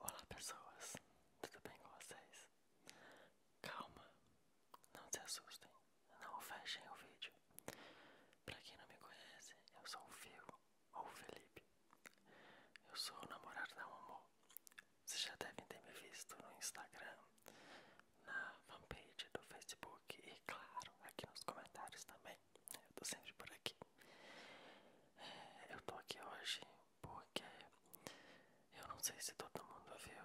Olá pessoas, tudo bem com vocês? Calma, não se assustem, não fechem o vídeo. Pra quem não me conhece, eu sou o Fio, ou Felipe. Eu sou o namorado da Mamô. Vocês já devem ter me visto no Instagram, na fanpage do Facebook e claro, aqui nos comentários também. Eu tô sempre por aqui. É, eu tô aqui hoje porque eu não sei se todo mundo viu.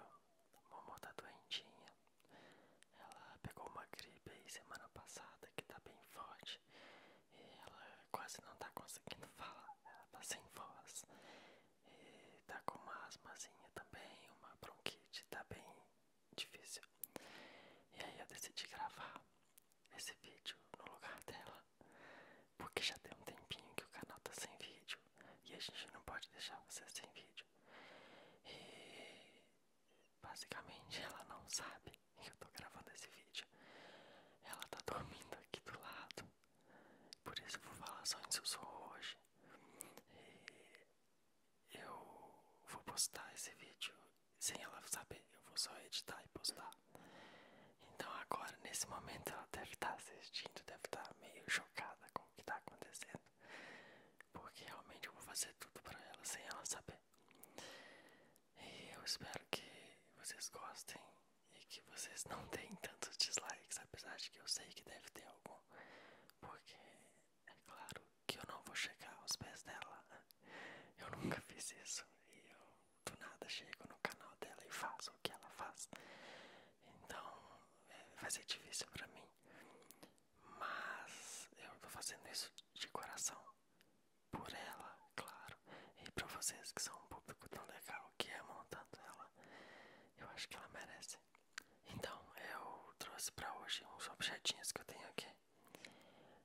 Momô tá doentinha. Ela pegou uma gripe aí semana passada que tá bem forte. E ela quase não tá conseguindo falar. Ela tá sem voz. E tá com uma asmazinha também, uma bronquite, tá bem difícil. E aí eu decidi gravar esse vídeo no lugar dela, porque já tem um tempinho que o canal tá sem vídeo e a gente não pode deixar você sem vídeo. E basicamente ela não sabe que eu tô gravando esse vídeo. Ela tá dormindo aqui do lado, por isso eu vou falar só em sussurro hoje. E eu vou postar esse vídeo sem ela saber, eu vou só editar e postar. Então agora, nesse momento, ela deve estar tá assistindo, deve estar tá meio chocada com o que está acontecendo. Porque realmente eu vou fazer tudo para ela sem ela saber. E eu espero que vocês gostem e que vocês não deem tantos dislikes, apesar de que eu sei que deve ter algum. Porque é claro que eu não vou chegar aos pés dela eu nunca fiz isso e eu do nada chego no canal dela e faço o que ela faz. Então é, vai ser difícil pra mim. Mas eu tô fazendo isso de coração. Por ela, claro. E pra vocês que são um público tão legal que amam tanto ela. Eu acho que ela merece. Então eu trouxe pra hoje uns objetinhos que eu tenho aqui.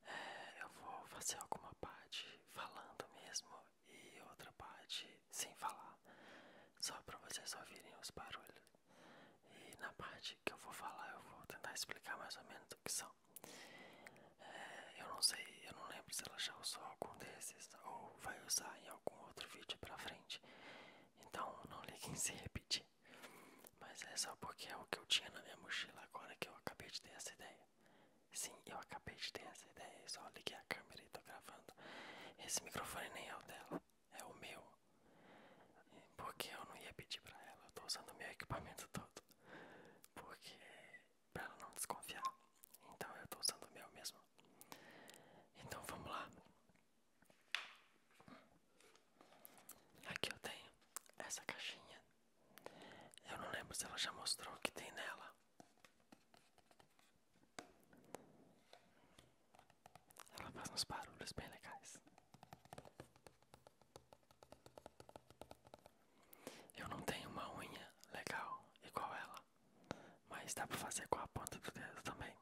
É, eu vou fazer alguma parte falando mesmo e outra parte sem falar, só para vocês ouvirem os barulhos. E na parte que eu vou falar, eu vou tentar explicar mais ou menos o que são. É, eu não sei, eu não lembro se ela já usou algum desses ou vai usar em algum outro vídeo pra frente. Então não liguem se repetir. Mas é só porque é o que eu tinha na minha mochila agora que eu acabei de ter essa ideia. Sim, eu acabei de ter essa ideia. é só liguei a câmera e tô gravando. Esse microfone nem é o dela, é o meu. Porque eu não ia pedir pra ela, eu tô usando o meu equipamento todo. Porque. pra ela não desconfiar. Então eu tô usando o meu mesmo. Então vamos lá. Aqui eu tenho essa caixinha eu não lembro se ela já mostrou o que tem nela. Ela faz uns barulhos bem legais. Eu não tenho uma unha legal igual ela, mas dá pra fazer com a ponta do dedo também.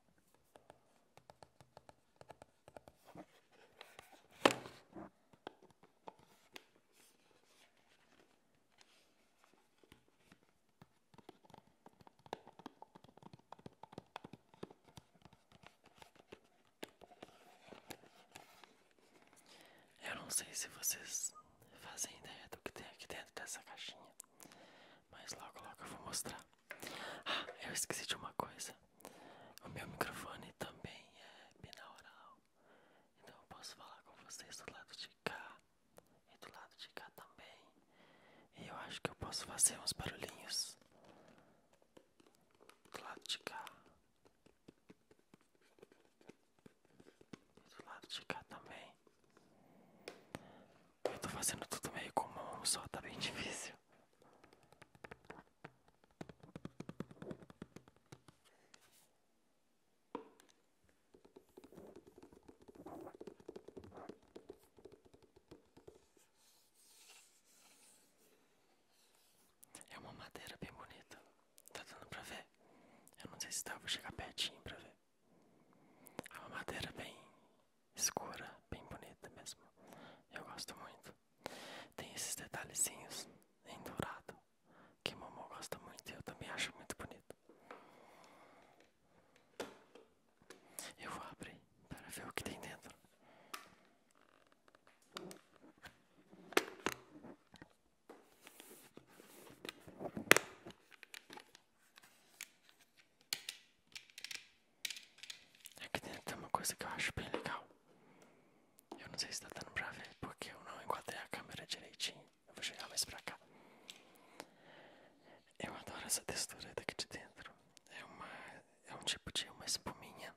Eu não sei se vocês fazem ideia do que tem aqui dentro dessa caixinha, mas logo logo eu vou mostrar. Ah, eu esqueci de uma coisa. O meu microfone também é binaural, então eu posso falar com vocês do lado de cá e do lado de cá também. eu acho que eu posso fazer uns barulhinhos do lado de cá do lado de cá também. Eu tô fazendo tudo meio comum, só tá bem difícil. É uma madeira bem bonita. Tá dando pra ver? Eu não sei se dá, vou chegar pertinho pra ver. É uma madeira bem escura, bem bonita mesmo. Eu gosto muito. Tem esses detalhezinhos em dourado que mamãe gosta muito e eu também acho muito bonito. Eu vou abrir para ver o que tem dentro. Aqui é dentro tem uma coisa que eu acho bem legal. Eu não sei se está dando para ver, porque eu não encontrei a câmera direitinho. vou chegar mais para cá. Eu adoro essa textura daqui de dentro. É, uma, é um tipo de uma espuminha.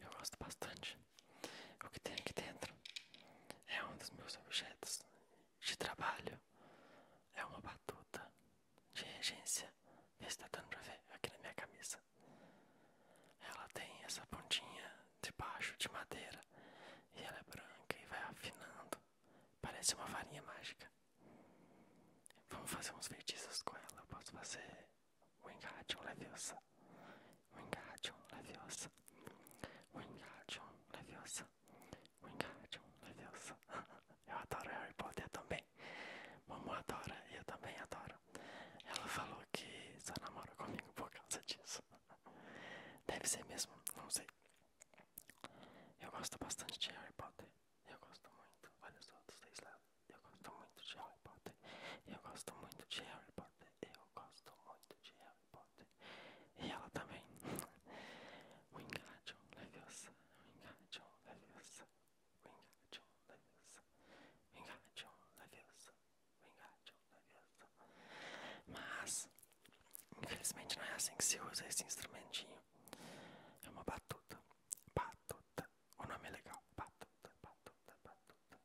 Eu gosto bastante. O que tem aqui dentro é um dos meus objetos de trabalho. É uma batuta de regência. Vê se tá dando pra ver aqui na minha camisa. Ela tem essa pontinha de baixo de madeira. E ela é branca e vai afinando. Parece uma varinha mágica. Vamos fazer uns feitiços com ela. Eu posso fazer Wingardium Leviosa. Wingardium Leviosa. Wingardium Leviosa. Wingardium Leviosa. eu adoro Harry Potter também. Mamu adora e eu também adoro. Ela falou que só namora comigo por causa disso. Deve ser mesmo, não sei. Eu gosto bastante de Harry Potter. Eu gosto muito, olha só dos dois lados. Eu gosto muito de Harry Potter. Eu gosto muito de Harry Potter. Eu gosto muito de Harry Potter. E ela também. Wingardium Leviosa. Wingardium Leviosa. Wingardium Leviosa. Wingardium Leviosa. Wingardium Leviosa. Mas, infelizmente não é assim que se usa esse instrumentinho. É uma batuta. Batuta. O nome é legal. Batuta, batuta, batuta.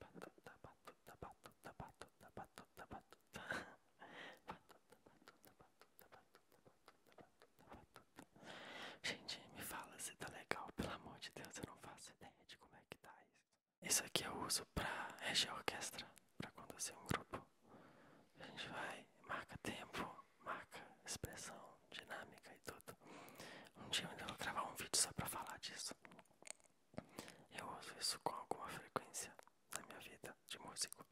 Batuta, batuta, batuta, batuta, batuta, batuta. Batuta, batuta, batuta, batuta, batuta, batuta, batuta. Gente, me fala se tá legal. Pelo amor de Deus, eu não faço ideia de como é que tá isso. Isso aqui eu uso pra reger a orquestra, pra conduzir um grupo. A gente vai, marca tempo marca, expressão, dinâmica e tudo. Um dia eu ainda vou gravar um vídeo só pra falar disso. Eu uso isso com alguma frequência na minha vida de músico.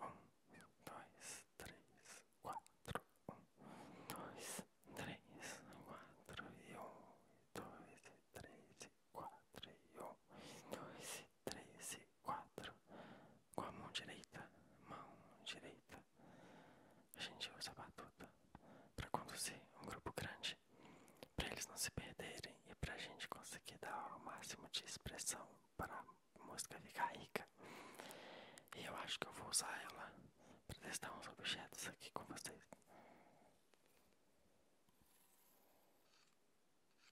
Um, dois, três, quatro. Um, dois, três, quatro e um, dois, três, quatro e um, dois, três, quatro com a mão direita, mão direita. A gente usa a batuta para conduzir um grupo grande, para eles não se perderem e para a gente conseguir dar o máximo de expressão para a música ficar rica. E eu acho que eu vou usar ela para testar uns objetos aqui com vocês.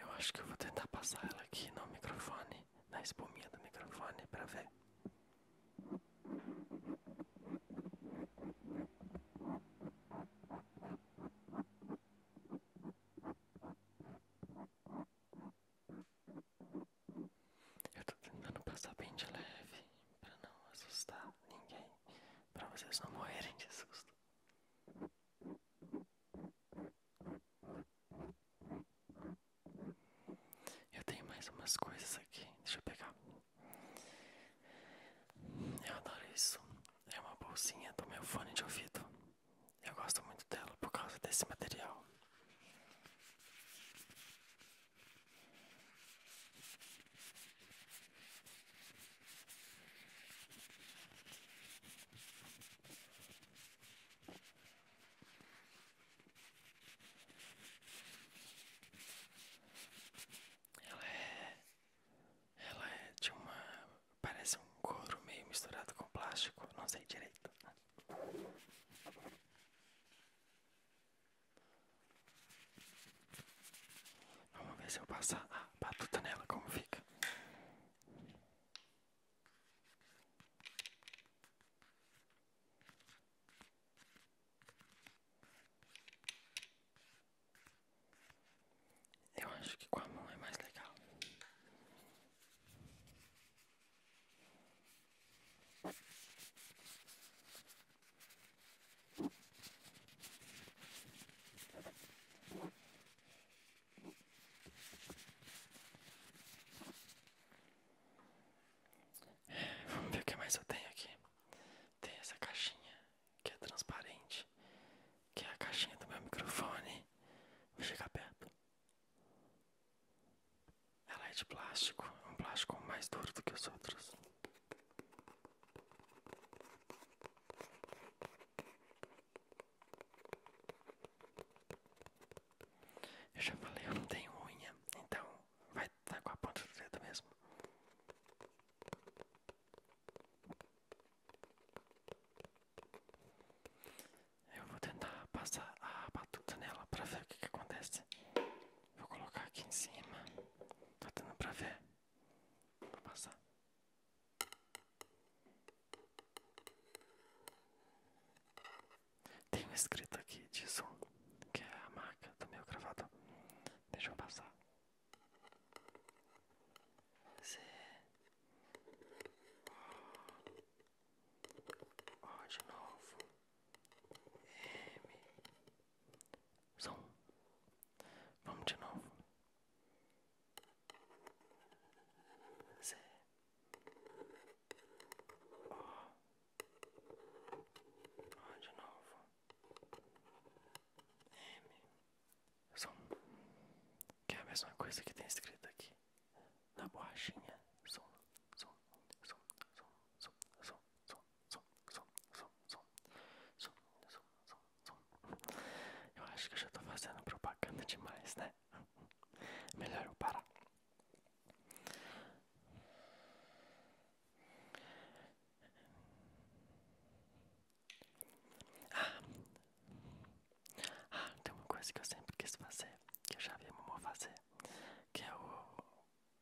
Eu acho que eu vou tentar passar ela aqui no microfone, na espuminha do microfone, para ver. Eu tô tentando passar bem de leve, para não assustar ninguém, para vocês não morrerem de susto. Eu tenho mais umas coisas aqui. Deixa eu pegar. Eu adoro isso. É uma bolsinha do meu fone de ouvido. Eu gosto muito dela por causa desse material. Ela é. Ela é de uma. Parece um couro meio misturado com plástico, não sei direito. Vamos ver se eu passar a batuta nela, como fica. Eu acho que com a mão é mais legal. Vamos ver o que mais eu tenho aqui. Tem essa caixinha que é transparente, que é a caixinha do meu microfone. Vou chegar perto. Ela é de plástico, um plástico mais duro do que os outros. Eu já falei, eu não tenho unha, então vai dar tá com a ponta do dedo mesmo. Eu vou tentar passar a batuta nela pra ver o que, que acontece. Vou colocar aqui em cima. Tá dando pra ver? Vou passar. Tem um escrito aqui de disso, que é a marca do meu gravador. Deixa eu passar. C O O de novo. M som Vamos de novo. C O. O de novo. M. som um. Que é a mesma coisa que tem escrito aqui. Na borrachinha. som, som, som, som. Eu acho que já estou fazendo propaganda demais, né? Melhor eu parar. Ah. ah, tem uma coisa que eu sempre quis fazer, que eu já vi mamãe fazer, que é o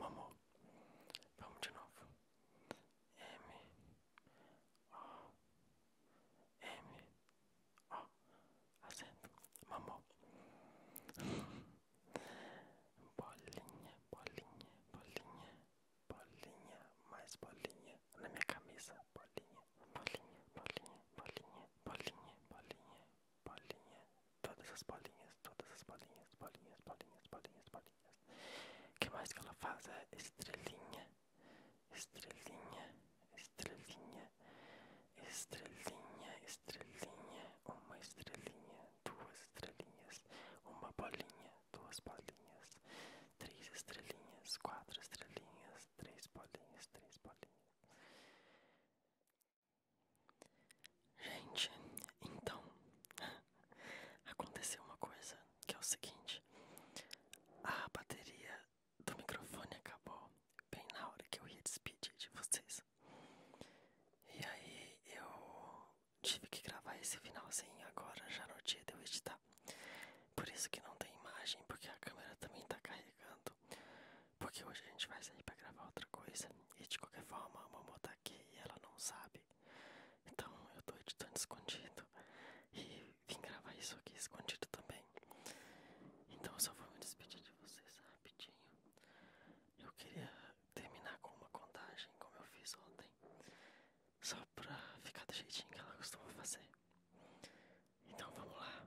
Mamou. Vamos de novo. M. O. M. O. Acento. Mamou. bolinha, bolinha, bolinha, bolinha, mais bolinha. Na minha cabeça Bolinha, bolinha, bolinha, bolinha, bolinha, bolinha, bolinha, todas as bolinhas, todas as bolinhas, bolinhas, bolinhas, bolinhas, bolinhas. O que mais que ela faz é estrelinha, estrelinha, estrelinha, estrelinha, estrelinha, uma estrelinha, duas estrelinhas, uma bolinha, duas bolinhas, três estrelinhas, quatro estrelinhas, três bolinhas, três bolinhas. Gente, então aconteceu uma coisa que é o seguinte: a bateria do microfone acabou bem na hora que eu ia despedir de vocês. E aí eu tive que gravar esse finalzinho agora já no dia de eu editar. Por isso que não tem imagem, porque a câmera também tá carregando. Porque hoje a gente vai sair pra gravar outra coisa. E de qualquer forma, a mamãe tá aqui e ela não sabe. Então eu tô editando escondido. E vim gravar isso aqui escondido também. Então eu só vou me despedir de vocês rapidinho. Eu queria terminar com uma contagem, como eu fiz ontem. Só pra ficar do jeitinho que ela costuma fazer. Então vamos lá.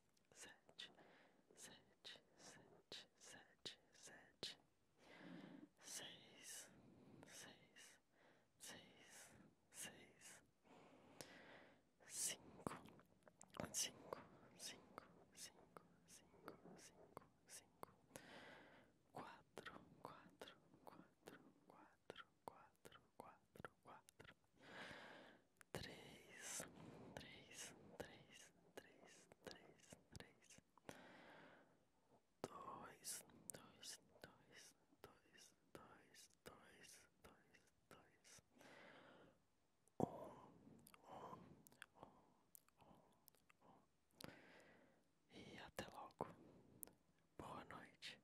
sete, sete, sete, sete, sete, seis, seis, seis, seis, cinco, cinco, cinco, cinco, cinco, cinco, cinco, quatro, quatro, quatro, quatro, quatro, quatro, quatro, três, três, três, três, três, três, dois, dois, dois, dois, dois, dois, dois, dois, um, um, um, um, um, e até logo. Boa noite.